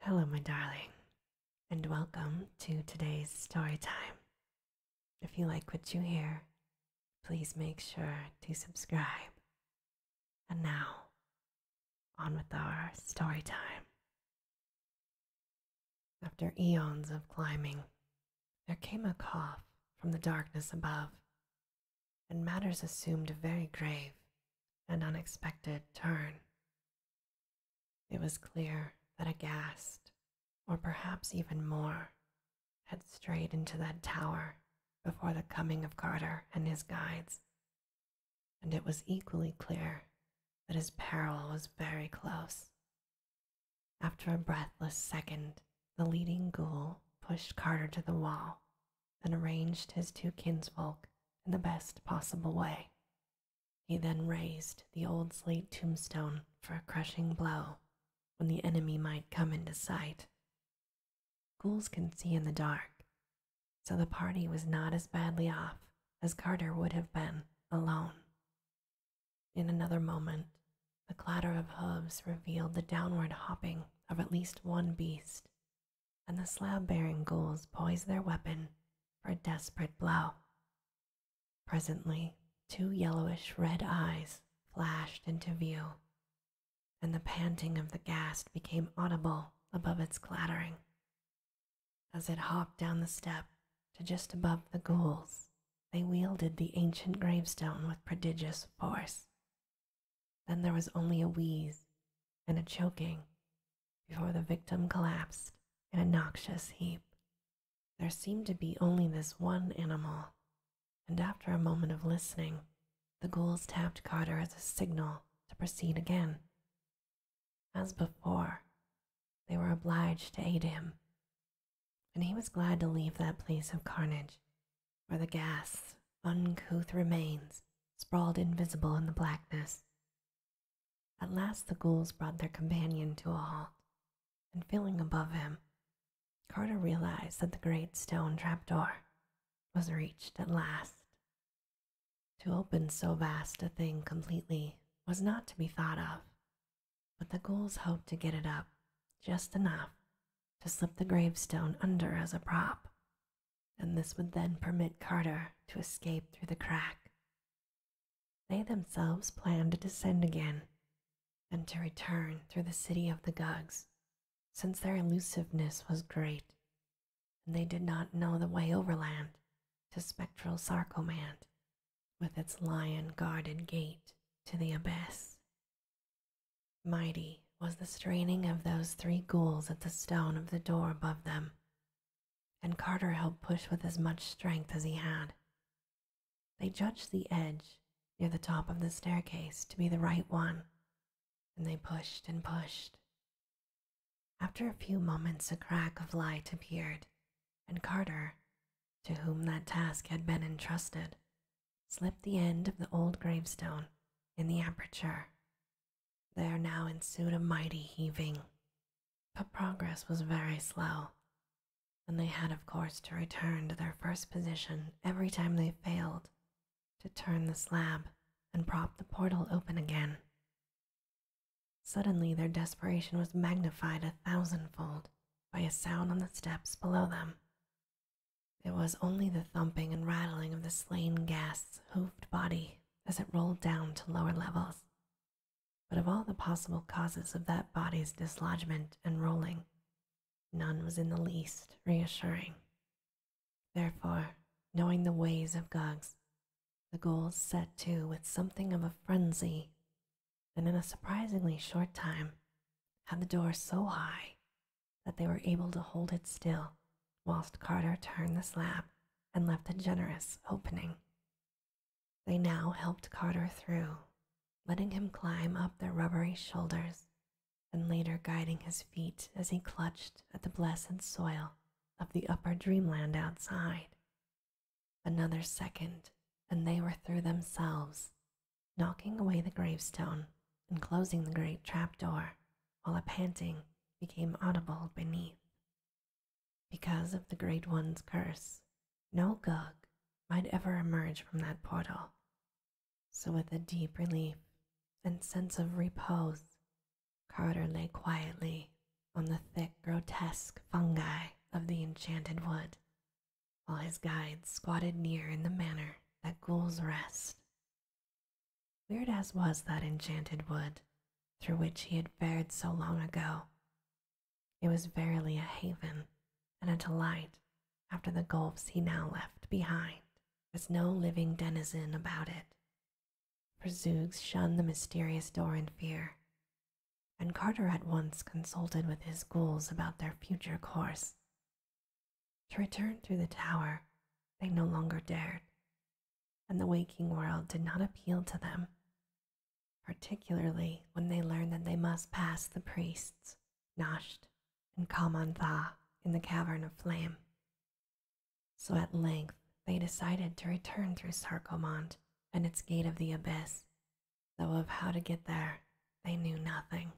Hello, my darling, and welcome to today's story time. If you like what you hear, please make sure to subscribe. And now, on with our story time. After eons of climbing, there came a cough from the darkness above, and matters assumed a very grave and unexpected turn it was clear that a ghast, or perhaps even more, had strayed into that tower before the coming of Carter and his guides, and it was equally clear that his peril was very close. After a breathless second, the leading ghoul pushed Carter to the wall and arranged his two kinsfolk in the best possible way. He then raised the old slate tombstone for a crushing blow when the enemy might come into sight. Ghouls can see in the dark, so the party was not as badly off as Carter would have been alone. In another moment, the clatter of hoofs revealed the downward hopping of at least one beast, and the slab bearing ghouls poised their weapon for a desperate blow. Presently, two yellowish red eyes flashed into view, and the panting of the ghast became audible above its clattering as it hopped down the step to just above the ghouls. They wielded the ancient gravestone with prodigious force, then there was only a wheeze and a choking before the victim collapsed in a noxious heap. There seemed to be only this one animal, and after a moment of listening, the ghouls tapped Cotter as a signal to proceed again. As before, they were obliged to aid him, and he was glad to leave that place of carnage where the gas, uncouth remains sprawled invisible in the blackness. At last the ghouls brought their companion to a halt, and feeling above him, Carter realized that the great stone trapdoor was reached at last. To open so vast a thing completely was not to be thought of, but the ghouls hoped to get it up just enough to slip the gravestone under as a prop and this would then permit Carter to escape through the crack. They themselves planned to descend again and to return through the city of the Gugs, since their elusiveness was great, and they did not know the way overland to spectral Sarcomand with its lion guarded gate to the abyss. Mighty was the straining of those three ghouls at the stone of the door above them, and Carter helped push with as much strength as he had. They judged the edge near the top of the staircase to be the right one, and they pushed and pushed. After a few moments, a crack of light appeared, and Carter, to whom that task had been entrusted, slipped the end of the old gravestone in the aperture there now ensued a mighty heaving, but progress was very slow, and they had, of course, to return to their first position every time they failed to turn the slab and prop the portal open again. Suddenly, their desperation was magnified a thousandfold by a sound on the steps below them. It was only the thumping and rattling of the slain guests hooved body as it rolled down to lower levels. But of all the possible causes of that body's dislodgement and rolling, none was in the least reassuring. Therefore, knowing the ways of Goggs, the Ghoul set to with something of a frenzy, and in a surprisingly short time had the door so high that they were able to hold it still whilst Carter turned the slab and left a generous opening. They now helped Carter through, letting him climb up their rubbery shoulders and later guiding his feet as he clutched at the blessed soil of the upper dreamland outside. Another second, and they were through themselves, knocking away the gravestone and closing the great trap door while a panting became audible beneath. Because of the Great One's curse, no Gug might ever emerge from that portal. So, with a deep relief and sense of repose, Carter lay quietly on the thick, grotesque fungi of the enchanted wood, while his guide squatted near in the manner that ghouls rest, Weird as was that enchanted wood through which he had fared so long ago, it was verily a haven and a delight after the gulfs he now left behind, with no living denizen about it. For Zoogs shunned the mysterious door in fear, and Carter at once consulted with his ghouls about their future course. To return through the tower, they no longer dared, and the waking world did not appeal to them, particularly when they learned that they must pass the priests, Nasht and Kamantha, in the Cavern of Flame. So at length they decided to return through Sarcomont and its Gate of the Abyss, though of how to get there they knew nothing.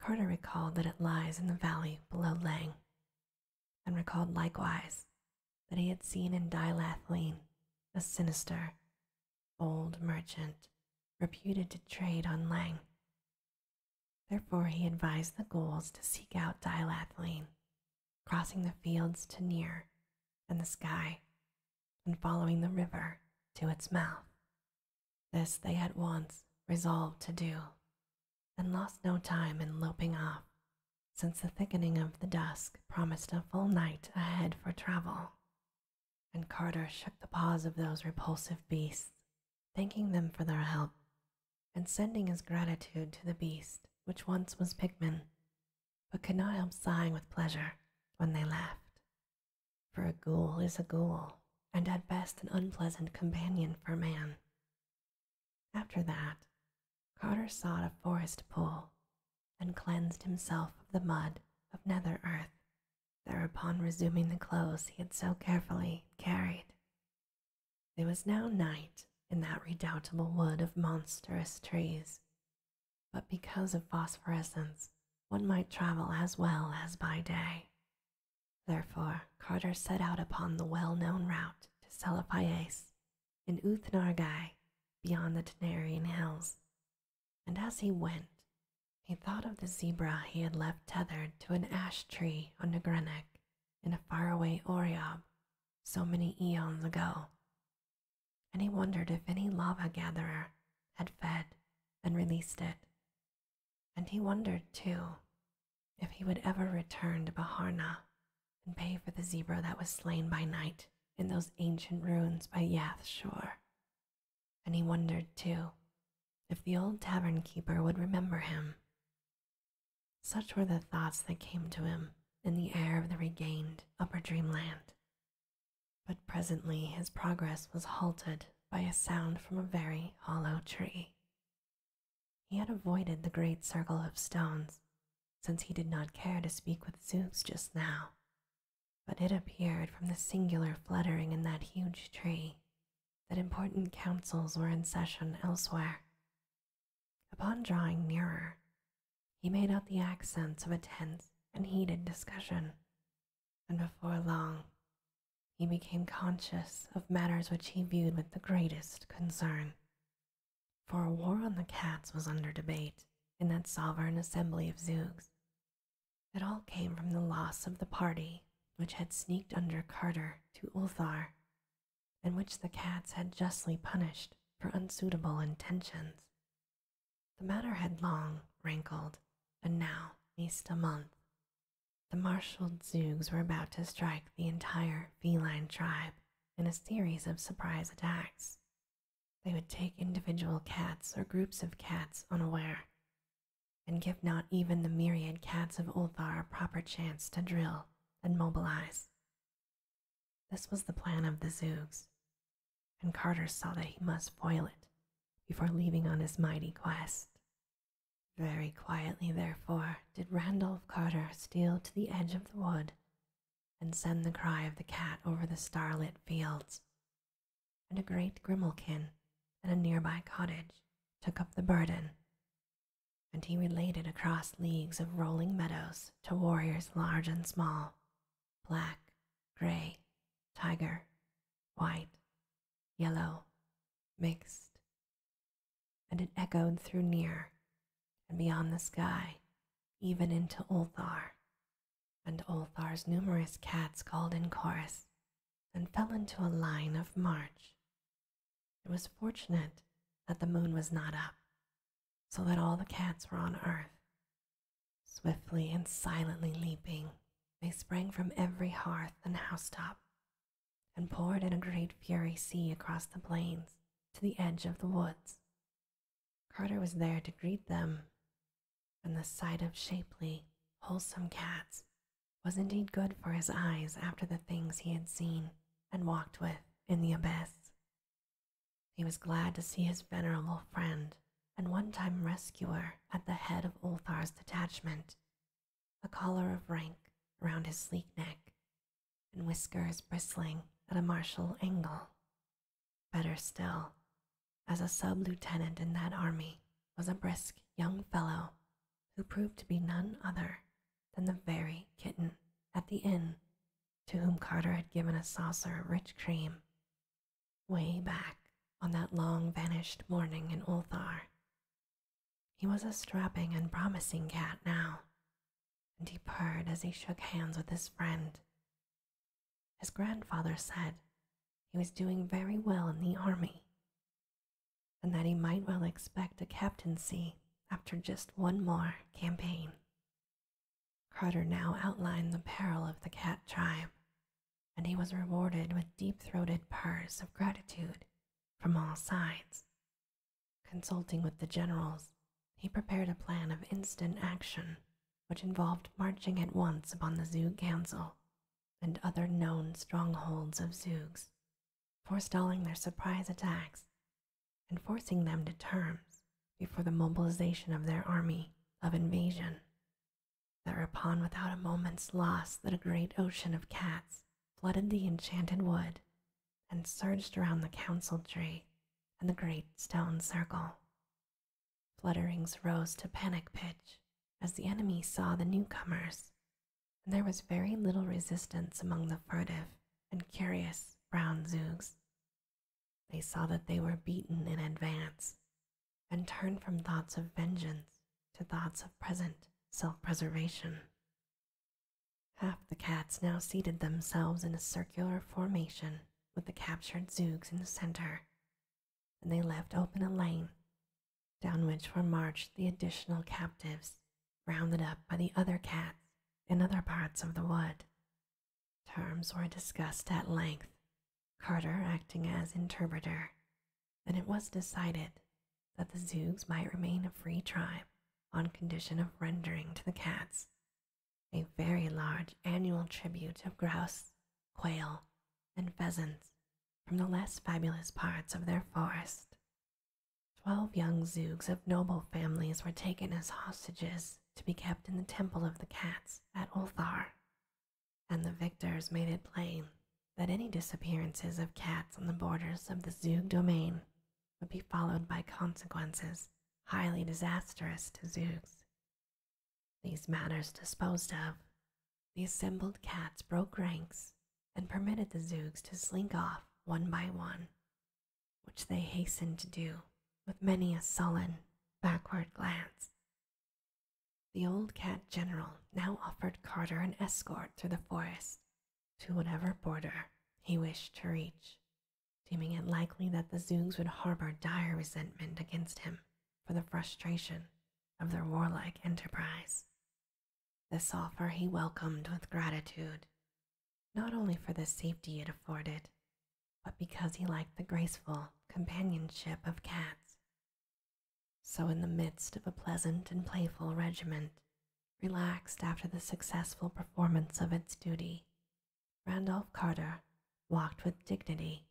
Carter recalled that it lies in the valley below Lang, and recalled likewise that he had seen in Dilath a sinister, old merchant reputed to trade on Lang. Therefore, he advised the ghouls to seek out Dilath crossing the fields to near and the sky, and following the river to its mouth. This they at once resolved to do, and lost no time in loping off, since the thickening of the dusk promised a full night ahead for travel. And Carter shook the paws of those repulsive beasts, thanking them for their help, and sending his gratitude to the beast which once was Pigman, but could not help sighing with pleasure when they laughed, For a ghoul is a ghoul, and at best an unpleasant companion for man. After that, Carter sought a forest pool and cleansed himself of the mud of nether earth, thereupon resuming the clothes he had so carefully carried. It was now night in that redoubtable wood of monstrous trees, but because of phosphorescence, one might travel as well as by day, Therefore, Carter set out upon the well known route to Selapiais in Uthnargai beyond the Tenarian hills, and as he went, he thought of the zebra he had left tethered to an ash tree on the Nagrenek in a faraway Oriob so many eons ago, and he wondered if any lava gatherer had fed and released it and he wondered, too, if he would ever return to Baharna and pay for the zebra that was slain by night in those ancient ruins by Yath shore. And he wondered, too, if the old tavern keeper would remember him. Such were the thoughts that came to him in the air of the regained upper dreamland. But presently his progress was halted by a sound from a very hollow tree. He had avoided the great circle of stones since he did not care to speak with Zeus just now, but it appeared from the singular fluttering in that huge tree that important councils were in session elsewhere. Upon drawing nearer, he made out the accents of a tense and heated discussion and before long he became conscious of matters which he viewed with the greatest concern. For a war on the cats was under debate in that sovereign assembly of Zougs. It all came from the loss of the party which had sneaked under Carter to Ulthar, and which the cats had justly punished for unsuitable intentions. The matter had long rankled, and now, least a month, the marshaled Zoogs were about to strike the entire feline tribe in a series of surprise attacks. They would take individual cats or groups of cats unaware, and give not even the myriad cats of Ulthar a proper chance to drill and mobilize. This was the plan of the Zoogs, and Carter saw that he must foil it before leaving on his mighty quest. Very quietly, therefore, did Randolph Carter steal to the edge of the wood and send the cry of the cat over the starlit fields, and a great grimalkin at a nearby cottage took up the burden, and he related across leagues of rolling meadows to warriors large and small, black, gray, tiger, white, yellow, mixed, and it echoed through near and beyond the sky, even into Ulthar. And Ulthar's numerous cats called in chorus and fell into a line of march. It was fortunate that the moon was not up, so that all the cats were on earth, swiftly and silently leaping they sprang from every hearth and housetop, and poured in a great fiery sea across the plains to the edge of the woods. Carter was there to greet them, and the sight of shapely, wholesome cats was indeed good for his eyes after the things he had seen and walked with in the abyss. He was glad to see his venerable friend and one time rescuer at the head of Ulthar's detachment a collar of rank round his sleek neck, and whiskers bristling at a martial angle. Better still, as a sub lieutenant in that army was a brisk young fellow who proved to be none other than the very kitten at the inn to whom Carter had given a saucer of rich cream way back on that long vanished morning in Ulthar. He was a strapping and promising cat now, and he purred as he shook hands with his friend. His grandfather said he was doing very well in the army, and that he might well expect a captaincy after just one more campaign. Carter now outlined the peril of the cat tribe and he was rewarded with deep throated purrs of gratitude from all sides. Consulting with the generals, he prepared a plan of instant action which involved marching at once upon the Zug Council and other known strongholds of Zugs, forestalling their surprise attacks and forcing them to terms before the mobilization of their army of invasion. Thereupon, without a moment's loss, that a great ocean of cats flooded the enchanted wood and surged around the council tree and the great stone circle. Flutterings rose to panic pitch as the enemy saw the newcomers, and there was very little resistance among the furtive and curious brown zoogs. They saw that they were beaten in advance and turned from thoughts of vengeance to thoughts of present self preservation. Half the cats now seated themselves in a circular formation with the captured Zoogs in the center, and they left open a lane down which were marched the additional captives rounded up by the other cats in other parts of the wood. Terms were discussed at length, Carter acting as interpreter, that it was decided that the Zoogs might remain a free tribe on condition of rendering to the cats a very large annual tribute of grouse, quail, and pheasants from the less fabulous parts of their forest. Twelve young Zoogs of noble families were taken as hostages to be kept in the temple of the cats at Ulthar and the victors made it plain that any disappearances of cats on the borders of the Zug domain would be followed by consequences highly disastrous to Zugs. These matters disposed of, the assembled cats broke ranks and permitted the Zugs to slink off one by one, which they hastened to do with many a sullen, backward glance, the old cat general now offered Carter an escort through the forest to whatever border he wished to reach, deeming it likely that the Zoogs would harbor dire resentment against him for the frustration of their warlike enterprise. This offer he welcomed with gratitude, not only for the safety it afforded, but because he liked the graceful companionship of cats so, in the midst of a pleasant and playful regiment, relaxed after the successful performance of its duty, Randolph Carter walked with dignity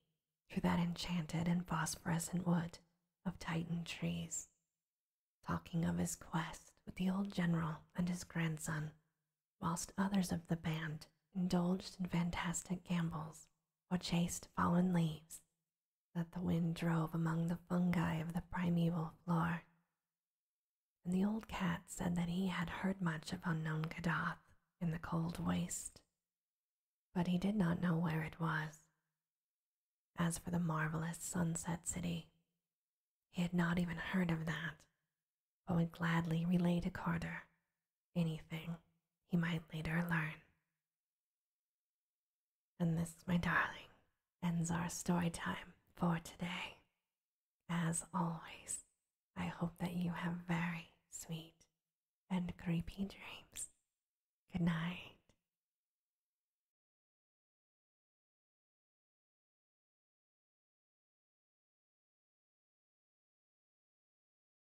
through that enchanted and phosphorescent wood of Titan trees, talking of his quest with the old general and his grandson, whilst others of the band indulged in fantastic gambols or chased fallen leaves that the wind drove among the fungi of the primeval floor. And the old cat said that he had heard much of unknown Kadath in the cold waste, but he did not know where it was. As for the marvelous sunset city, he had not even heard of that, but would gladly relate to Carter anything he might later learn. And this, my darling, ends our story time for today. As always, I hope that you have very sweet and creepy dreams. Good night.